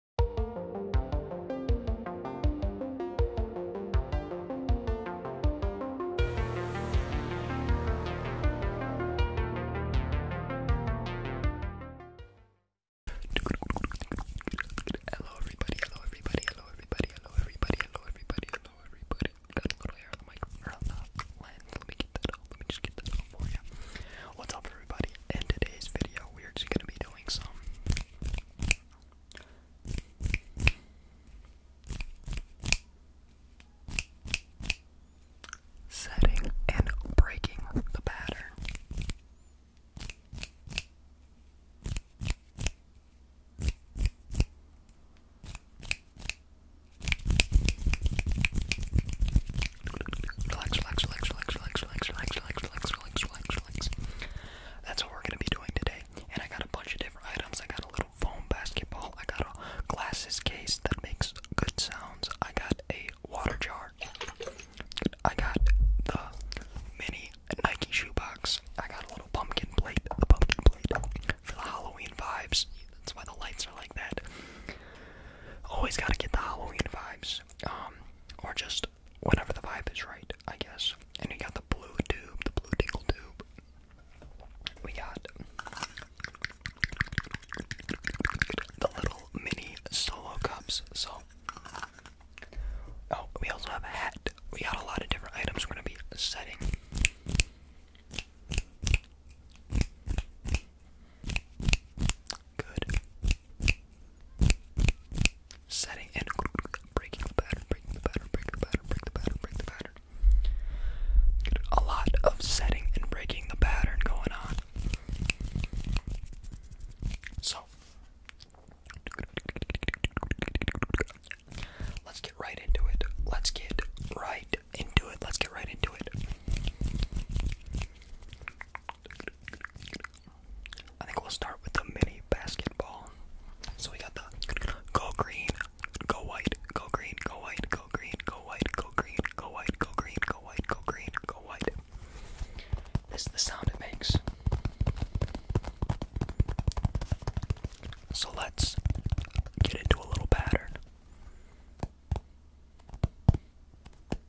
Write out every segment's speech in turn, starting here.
Hello everybody, hello everybody, hello everybody, hello everybody, hello everybody, hello everybody. Got a little hair on the mic Let me get that off. Let me just get that off for you. What's up everybody? In today's video, we're just gonna be doing filling some. Setting and breaking the pattern. Relax, relax, relax, relax, relax, relax, relax, relax, relax, relax, relax, relax. That's what we're gonna be doing today. And I got a bunch of different items. I got a little foam basketball. I got a glasses case that makes good sounds. I got a water jar. I got the mini Nike shoe box. I got a little pumpkin plate. The pumpkin plate for the Halloween vibes. That's why the lights are like that. Always gotta get the Halloween vibes um, or just whenever the vibe is right, I guess. And we got the blue tube, the blue tingle tube. We got the little mini solo cups. So, oh, we also have a hat. We got a lot of different items we're gonna be setting. Good setting and breaking the pattern, breaking the pattern, breaking the pattern, break the pattern, break the pattern. A lot of setting and breaking the pattern going on. So, let's get right into it. Let's get right into it. Let's get right into it. I think we'll start with the mini basketball. So we got the go green, go white, go green, go white, go green, go white, go green, go white, go green, go white, go green, go white. This is the sound it makes. So let's get into a little pattern.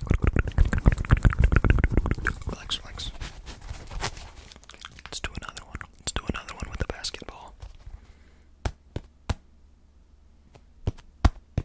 relax. Relax, relax. Let's do another one. Let's do another one with the basketball. Good,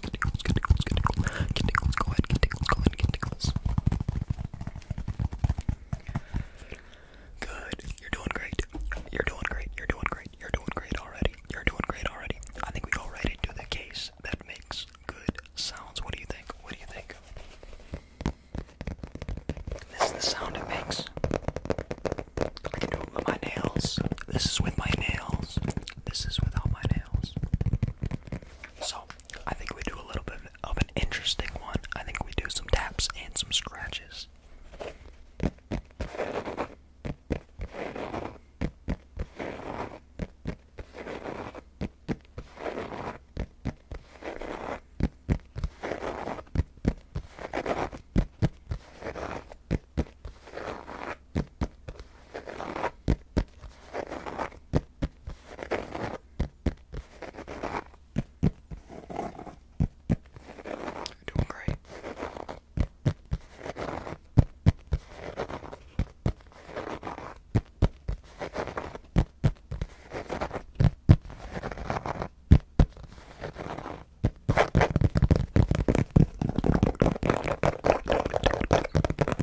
Good. You're doing great. You're doing great. You're doing great. You're doing great already. You're doing great already. I think we go right into the case that makes good sounds. What do you think? What do you think? This is the sound it makes. I can with my nails. This is with my nails. This is without my nails. So, I think we do a little bit of an interesting one. I think we do some taps and some scratches. Doing great.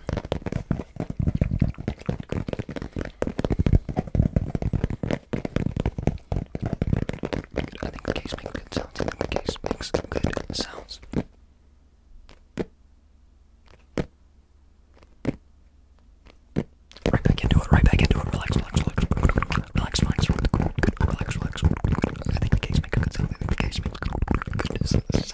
I think the case makes good sounds. I think the case makes good sounds. Right back into it, right back into it. Relax, relax, relax. Relax, relax, relax, relax. I think the case makes good sounds. I think the case makes good sounds.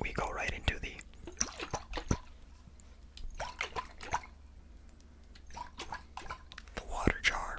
we go right into the the water jar.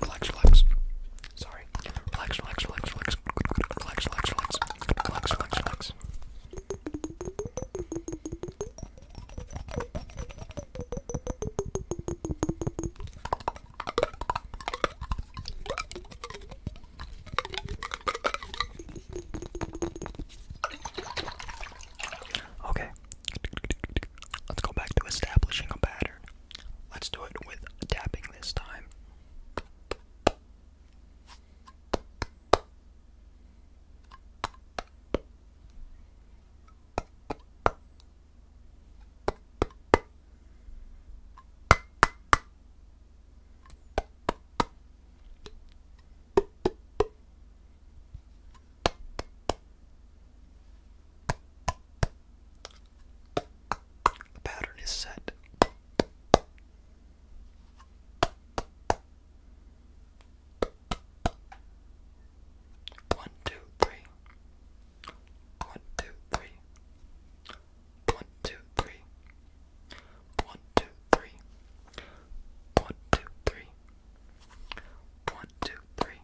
Relax, relax. Sorry. Relax, relax, relax, relax. Relax, relax, relax. Relax, relax, relax. Okay, let's go back to establishing a pattern. Let's do it with tapping this time. The pattern is set. One, two, three. One, two, three. One, two, three. One, two, three. One, two, three. One, two, three.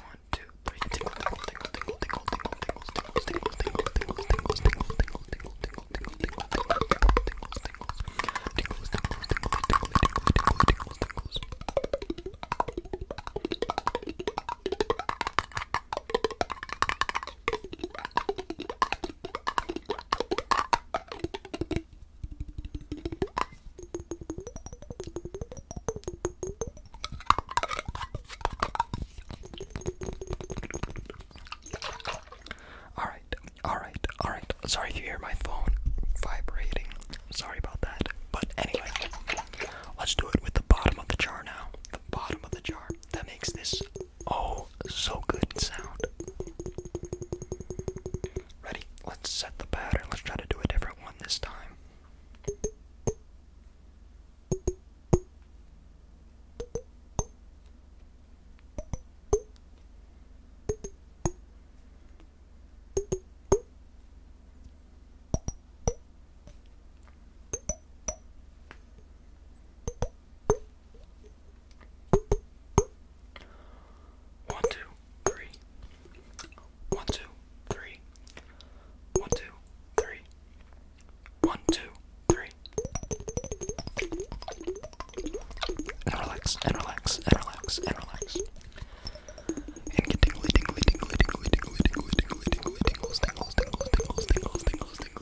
One, two, three. Tingle, tingle, tingle, tingle, tingle, tingle, tingles, tingles, tingle, tingle, tingles, tingles, tingle, tingle, tingle, tingle, tingle, tingle, tingle, tingle, tingles, tingles, tingles, tingles, tingles, tingle, tingle, tingle, tingles, tingles. All right, all right, all right. Sorry if you hear my phone vibrating. Sorry about that. But anyway, let's do it with the bottom of the jar now. The bottom of the jar. That makes this Oh, so good sound. Ready? Let's set the pattern. Let's try to do a different one this time. One, two, three. One, two, three. One, two, three. One, two, three. And relax, and relax, and relax, and relax. And get tingly, tingly, tingly, tingly, tingly, tingly, tingly, tingly, tingles, tingles, tingles, tingles, tingles, tingles, tingles,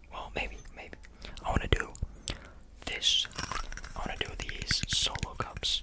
Well, maybe, maybe. I want to do this. I want to do these solo cups.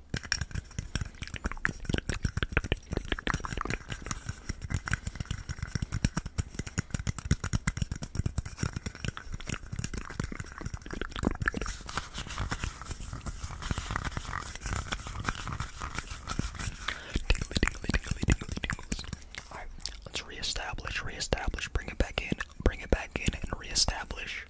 All right, let's reestablish, reestablish, bring it back in, bring it back in, and reestablish.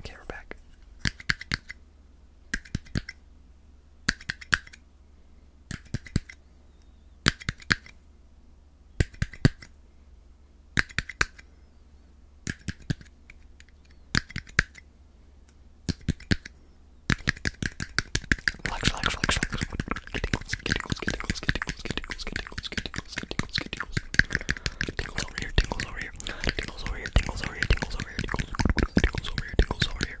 Okay, we're back. Relax, relax, relax, relax. Get tingles, get tingles, get tingles, get tingles, get tingles, get tingles, get tingles, get tingles, get tingles. Tingles over here, tingles over here. Tingles over here, tingles over here, tingles over here, tingles over here, tingles over here, tingles over here.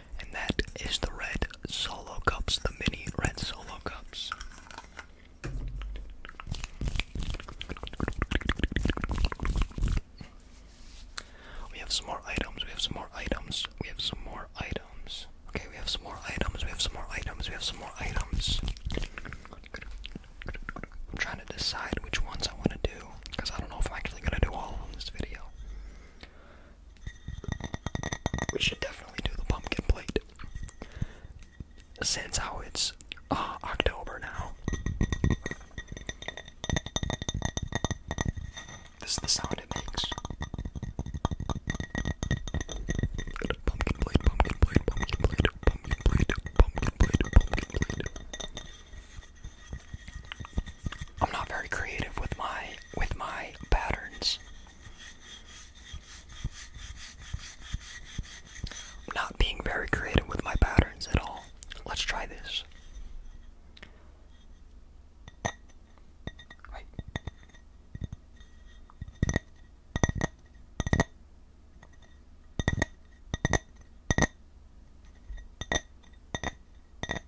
and that is the red solo cups, the mini red solo cups. We have some more items, we have some more items, we have some more items. Okay, we have some more items, we have some more items, we have some more items. I'm trying to decide which ones I want to do because I don't know if I'm actually going to do all of them in this video. We should definitely do the pumpkin plate. Since how it's uh, October now. This is the sound it makes. Pumpkin plate, pumpkin plate, pumpkin plate, pumpkin plate, pumpkin plate, pumpkin plate. I'm not very creative with my with my patterns. not being very creative with my patterns at all. Let's try this.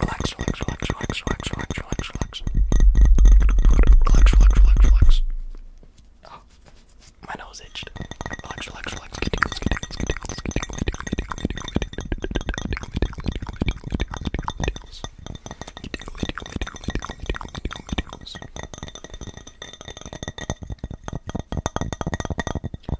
Relax, relax, relax, relax, relax, relax, relax, relax. Relax, relax, relax, relax. Oh, my nose itched. Relax, relax, relax. Get tingles, get tingles, get tingles, get tingles, get tingles, get tingles, get tingles, get tingles, get tingles, get tingles, get tingles, get tingles, get tingles, get tingles, get tingles, get tingles, get tingles.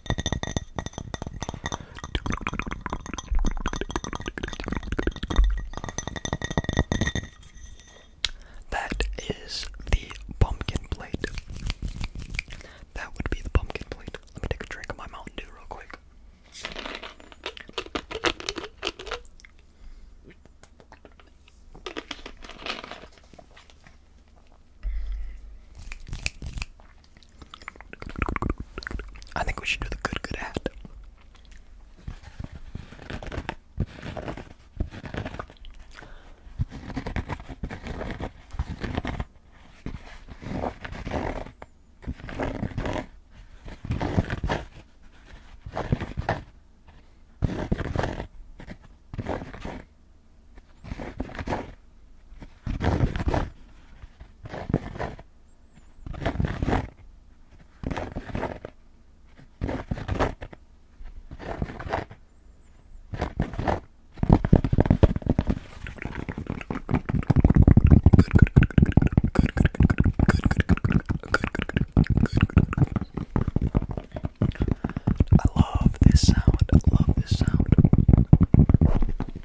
That is the pumpkin plate. That would be the pumpkin plate. Let me take a drink of my Mountain Dew real quick. I think we should do the good good act. I love this sound. I love this sound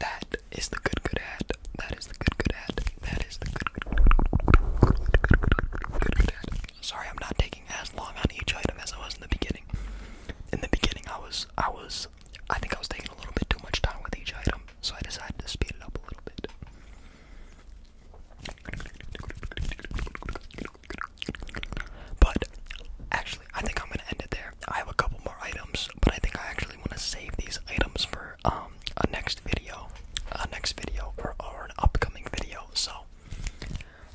that is the good good hat. That is the good good hat. That is the good good good Sorry, I'm not taking as long on each item as I was in the beginning. In the beginning, I was, I was, I think I was taking a little bit too much time with each item, so I decided to speed it up a little bit. But actually, I think I'm gonna end it there. I have a couple more items, but I think I actually want to save these items for um a next video, a next video, or, or an upcoming video. So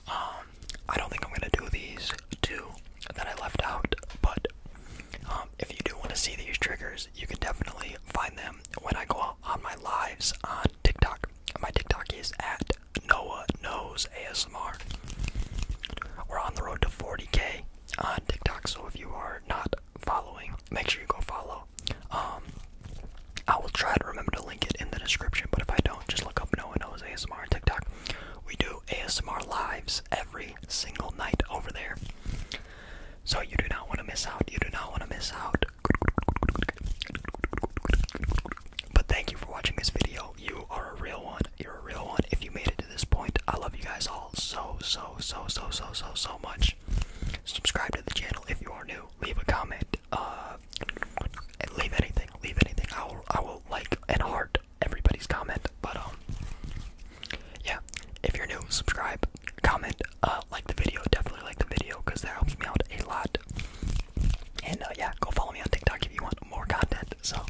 um, I don't think I'm gonna do these two that I left out, but um, if you do want to see these triggers, you can definitely find them when I go on my lives on TikTok. My TikTok is at Noah Knows ASMR. We're on the road to 40k on TikTok, so if you are not following, make sure you go follow um, I will try to remember to link it in the description, but if I don't, just look up No One Knows ASMR on TikTok. We do ASMR lives every single night over there. So you do not want to miss out. You do not want to miss out. But thank you for watching this video. You are a real one. You're a real one. If you made it to this point, I love you guys all so, so, so, so, so, so, so much. Subscribe to the channel if you are new. Leave a comment uh, leave anything, leave anything. I will, I will like and heart everybody's comment. But um, yeah, if you're new, subscribe, comment, uh, like the video. Definitely like the video because that helps me out a lot. And uh, yeah, go follow me on TikTok if you want more content. So, all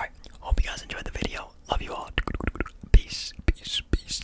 right, hope you guys enjoyed the video. Love you all. Peace, peace, peace.